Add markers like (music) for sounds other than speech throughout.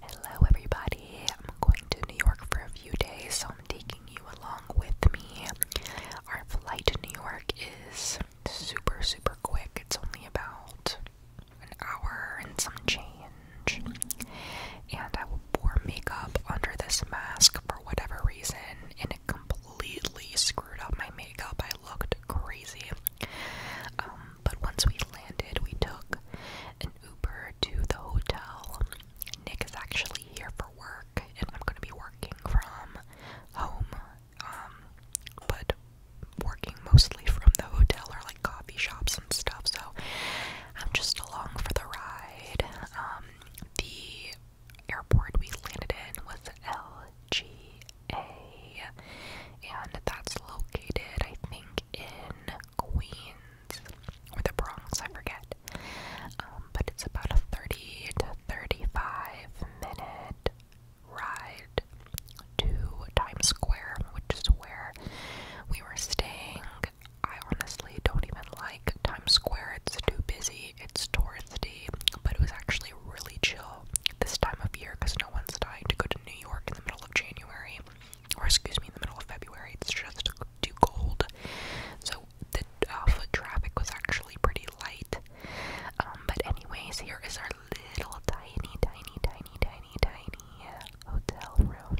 Hello, everybody. I'm going to New York for a few days, so I'm taking you along with me. Our flight to New York is super, super quick. It's only about an hour and some change. And I will pour makeup under this mask for whatever reason, and it completely screwed up my makeup. I looked crazy. Um, but once we landed, we took an Uber to the hotel. Nick is actually here for work, and I'm going to be working from home, um, but working mostly from the hotel or like coffee shops and stuff. So I'm just along for the ride. Um, the airport we landed in was LG and that's located, I think, in Queens or the Bronx, I forget. Um, but it's about a 30 to 35 minute ride to Times Square, which is where we were staying. I honestly don't even like Times Square, it's too busy, it's touristy, but it was actually really chill this time of year because no one's dying to go to New York in the middle of January, or excuse me, in the middle of February. It's just too cold. So the uh, foot traffic was actually pretty light. Um, but anyways, here is our little tiny, tiny, tiny, tiny, tiny hotel room.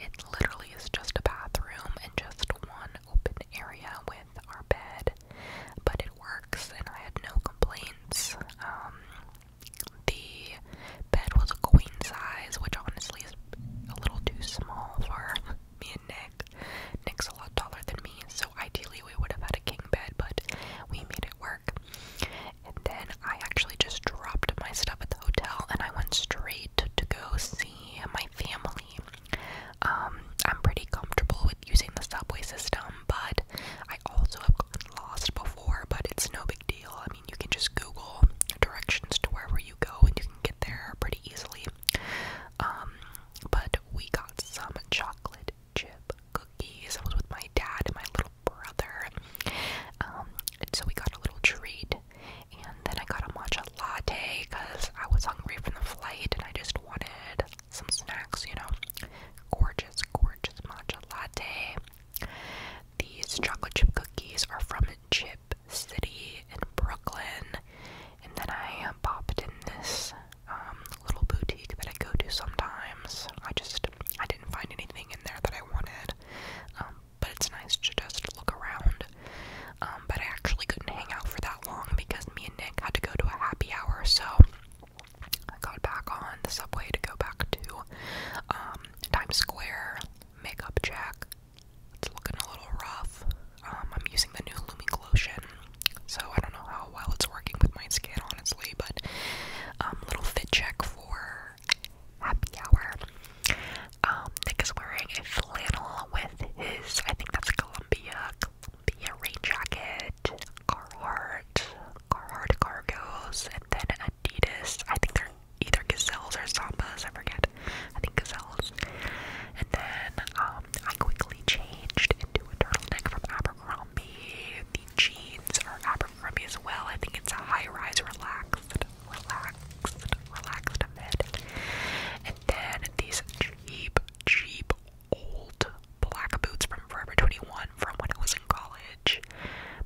It literally is just a bathroom and just one open area with our bed but it works, and I had no complaints. Um, the bed was a queen size, which honestly is a little too small for me and Nick. Nick's a lot taller than me, so ideally we would have had a king bed, but we made it work. And then I actually just dropped my stuff at the hotel and I went straight to go see my family. Um, I'm pretty comfortable with using the subway system, but I also have gotten lost before, but it's no big deal. I mean, you can just Google directions to wherever you go and you can get there pretty easily. Um, but we got some chocolate chip cookies. I was with my dad and my little brother. Um, and so we got a little treat, and then I got a matcha latte because I was hungry from the flight and I just wanted some snacks, you know. Gorgeous, gorgeous matcha latte. These chocolate chip cookies are from Chip City in Brooklyn. And then I popped in this um, little boutique that I go to sometimes. I just, I didn't find anything in there that I wanted. Um, but it's nice to just look around. Um, but I actually couldn't hang out for that long because me and Nick had to go to a happy hour, so I got back on the subway to go back to um, Times Square. Makeup check. It's looking a little rough. Um, I'm using the new Looming Lotion, so I don't know how well it's working with my skin, honestly, but um, little fit check for happy hour. Um, Nick is wearing a flannel with his, I think that's a Columbia the rain jacket, Carhartt, Carhartt cargos, and then Adidas. I think they're either gazelles or sambas. I forget. I think gazelles. And then um, I quickly changed into a turtleneck from Abercrombie. The jeans are Abercrombie as well. I think it's a high-rise, relaxed, relaxed, relaxed fit. And then these cheap, cheap old black boots from Forever 21 from when I was in college.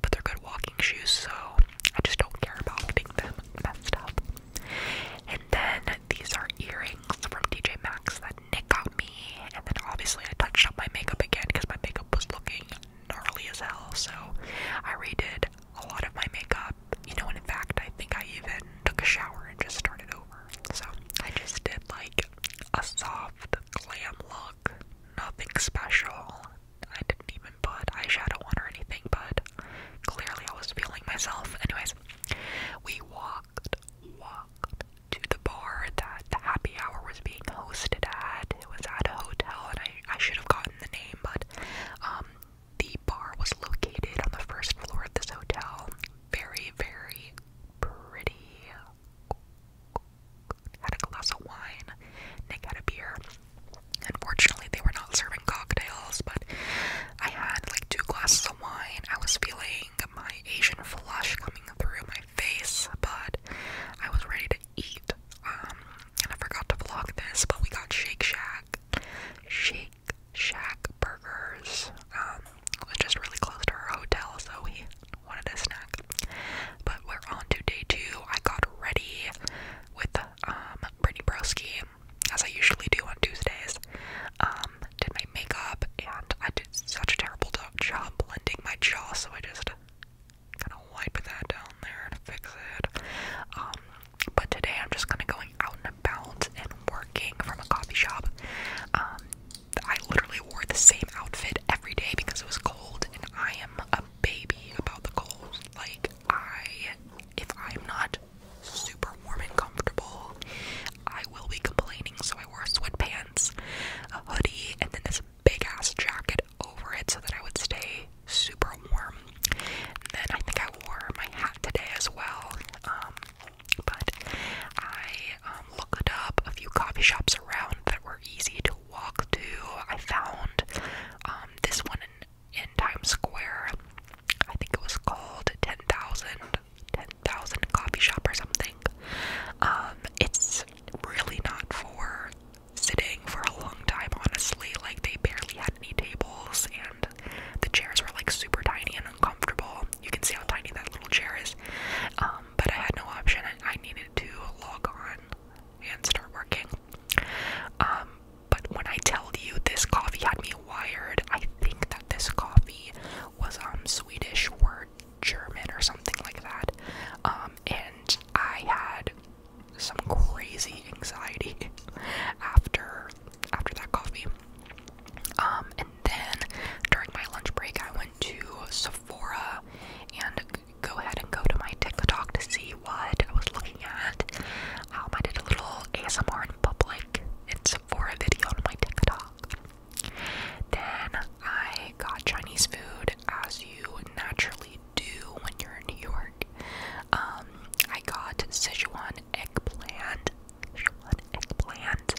But they're good walking shoes, so I just don't care about getting them messed up. And then these are earrings from DJ Maxx that Nick got me. And then obviously I touched up my makeup again because my makeup was looking gnarly as hell. So I redid a lot of my makeup, you know, and in fact, I think I even took a shower and just started over. So I just did like a soft glam look, nothing special. I didn't even put eyeshadow on or anything, but clearly I was feeling myself. Anyways, we walked, walked to the bar that the happy hour was being hosted at. It was at a hotel, and I, I should have gotten the name, but um, the bar was located on the first floor of this hotel. Very, very pretty. Had a glass of wine. Nick had a beer. Unfortunately, they were not serving cocktails, but I had like two glasses of wine. I was feeling my Asian flush coming through my face, but I was ready to eat. Um, and I forgot to vlog this, but we got Shake Shack. Shack, Shake Shack burgers. Um, was just really close to our hotel, so we wanted a snack. But we're on to day two. I got ready with um Brittany Broski, as I usually do on Tuesdays. Um, did my makeup, and I did such a terrible job blending my jaw, so I just kind of wipe that down there and fix it. Um, but today I'm just kind of going out and about and working from a coffee shop. Um, I literally wore the same outfit every day because it was cold, and I am a baby about the cold. Like, I, if I'm not super warm and comfortable, I will be complaining. So I wore sweatpants, a hoodie, and then this big ass jacket over it so that I would stay super warm. And then I think I wore my hat today as well. Um, but I um, looked up a few coffee shops around that were easy to walk to. I found um, this one in, Times Square. I think it was called 10,000 coffee shop or something. it's really not for sitting for a long time, honestly. Like, they barely had any tables, and the chairs were like super tiny and uncomfortable. You can see how tiny that little chair is. Um, but I had no option, I needed to log on and start working. Um, but when I tell you this coffee had me wired, I think that this coffee was um Swedish or German or something like that. Um, and I had some crazy anxiety (laughs) after after that coffee. Um, and then during my lunch break, I went to Sephora and go ahead and go to my TikTok to see what I was looking at. Um, I did a little ASMR in public It's in Sephora video on my TikTok. Then I got Chinese food as you naturally do when you're in New York. Um, I got Sichuan eggplant, Sichuan eggplant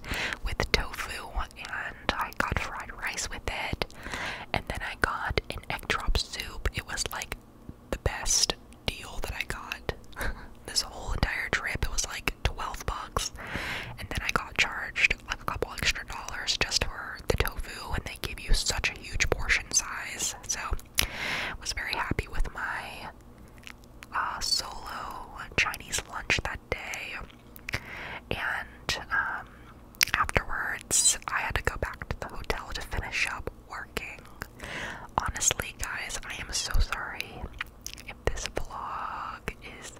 with tofu, and I got fried rice with it. And then I got an egg drop soup. It was like the best deal that I got. (laughs) this whole entire trip, it was like 12 bucks. And then I got charged like a couple extra dollars just for the tofu, and they give you such a huge portion size. So, was very happy with my uh, solo Chinese lunch that day. And um, afterwards, I had to go back to the hotel to finish up working. Honestly, guys, I am so sorry if this vlog is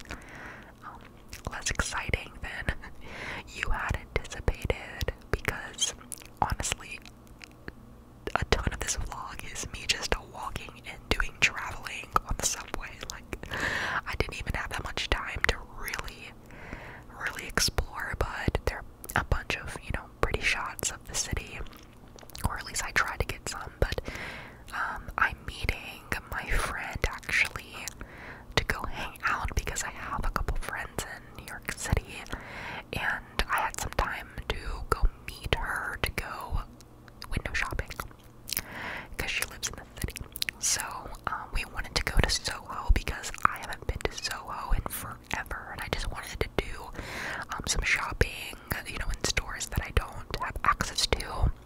less oh, exciting than (laughs) you had anticipated because honestly, a ton of this vlog is me just walking and doing traveling on the subway. Like, I didn't even have that much time to really, really explore, but there are a bunch of, you know, pretty shots of the city, or at least I tried to get some, but um, I'm meeting my friend actually to go hang out because I have a couple friends in New York City and I had some time to go meet her to go window shopping because she lives in the city. So uh, we wanted to go to Soho because I haven't been to Soho in forever and I just wanted to do um, some shopping, you know, in stores that I don't have access to.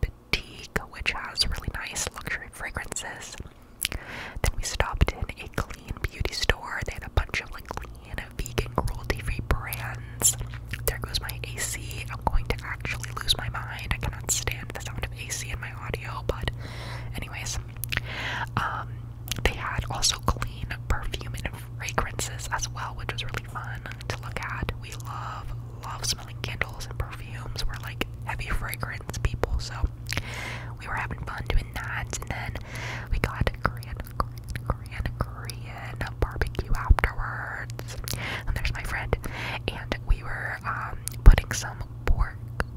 boutique, which has really nice luxury fragrances. Then we stopped in a clean beauty store. They had a bunch of like clean, vegan, cruelty-free brands. There goes my AC. I'm going to actually lose my mind. I cannot stand the sound of AC in my audio, but anyways. Um they had also clean perfume and fragrances as well, which was really fun to look at. We love, love smelling candles and perfumes. We're like heavy fragrance people, so we were having fun doing that. And then we got Korean, Korean, Korean, barbecue afterwards. And there's my friend. And we were um, putting some pork,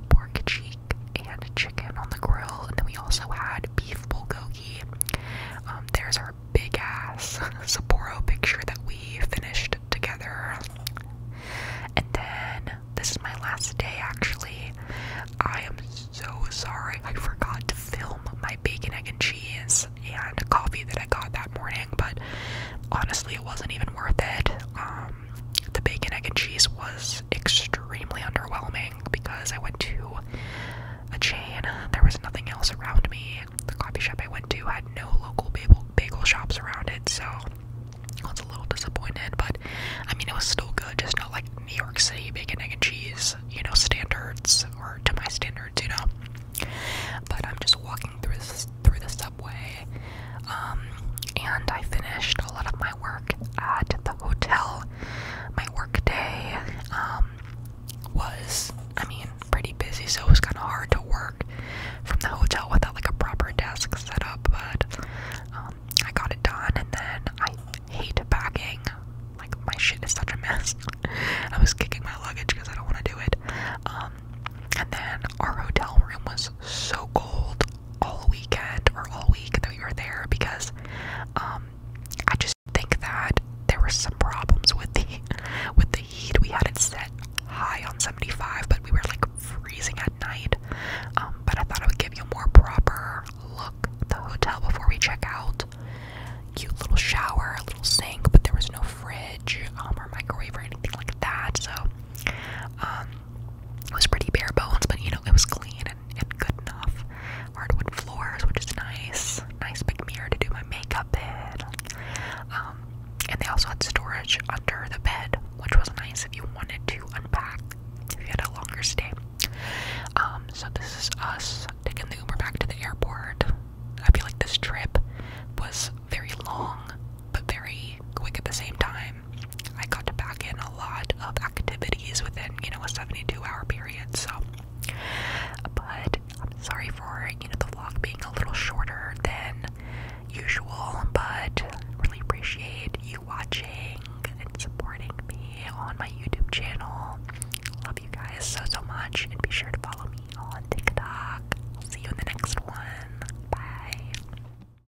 pork cheek, and chicken on the grill. And then we also had beef bulgogi um, there's our big ass (laughs) Sapporo picture that we finished together. And then this is my last day actually. I am so sorry I forgot to film my bacon, egg, and cheese and coffee that I got that morning, but honestly, it wasn't even worth it. Um, the bacon, egg, and cheese was extremely underwhelming because I went to a chain. There was nothing else around me. The coffee shop I went to had no local bagel, shops around it, so I was a little disappointed. But I mean, it was still good, just not like New York City bacon, egg, and cheese, you know, standards or to my standards, you know. But I'm just walking through through the subway, um, and I finished a lot of my work at the hotel my work day um, was, I mean, pretty busy, so it was kind of hard to work from the hotel without like a proper desk set up, but um, I got it done, and then I hate packing. Like, my shit is such a mess. (laughs) I was kicking my luggage because I don't want to do it. Um, and then our hotel room was so cold all weekend or all week that we were there because um, I just think that there were some problems with the (laughs) with the heat. We had it set high on 75, but we were like freezing at night. Um, but I thought I would give you a more proper look the hotel before we check out. Cute little shower, little sink, but there was no fridge um, or microwave or anything like that. So it was pretty bare bones, but you know it was clean and, good enough. Hardwood floors, which is nice. Nice big mirror to do my makeup in. Um, and they also had storage under the bed, which was nice if you wanted to unpack if you had a longer stay. Um, so this is us taking the Uber back to the airport. I feel like this trip was very long, but very quick at the same time. I got to back in a lot of activities within, you know, a 72 hour period. So, but I'm sorry for, you know, the vlog being a little shorter than usual, but really appreciate you watching and supporting me on my YouTube channel. Love you guys so, so much. And be sure to follow me on TikTok. I'll see you in the next one. Bye.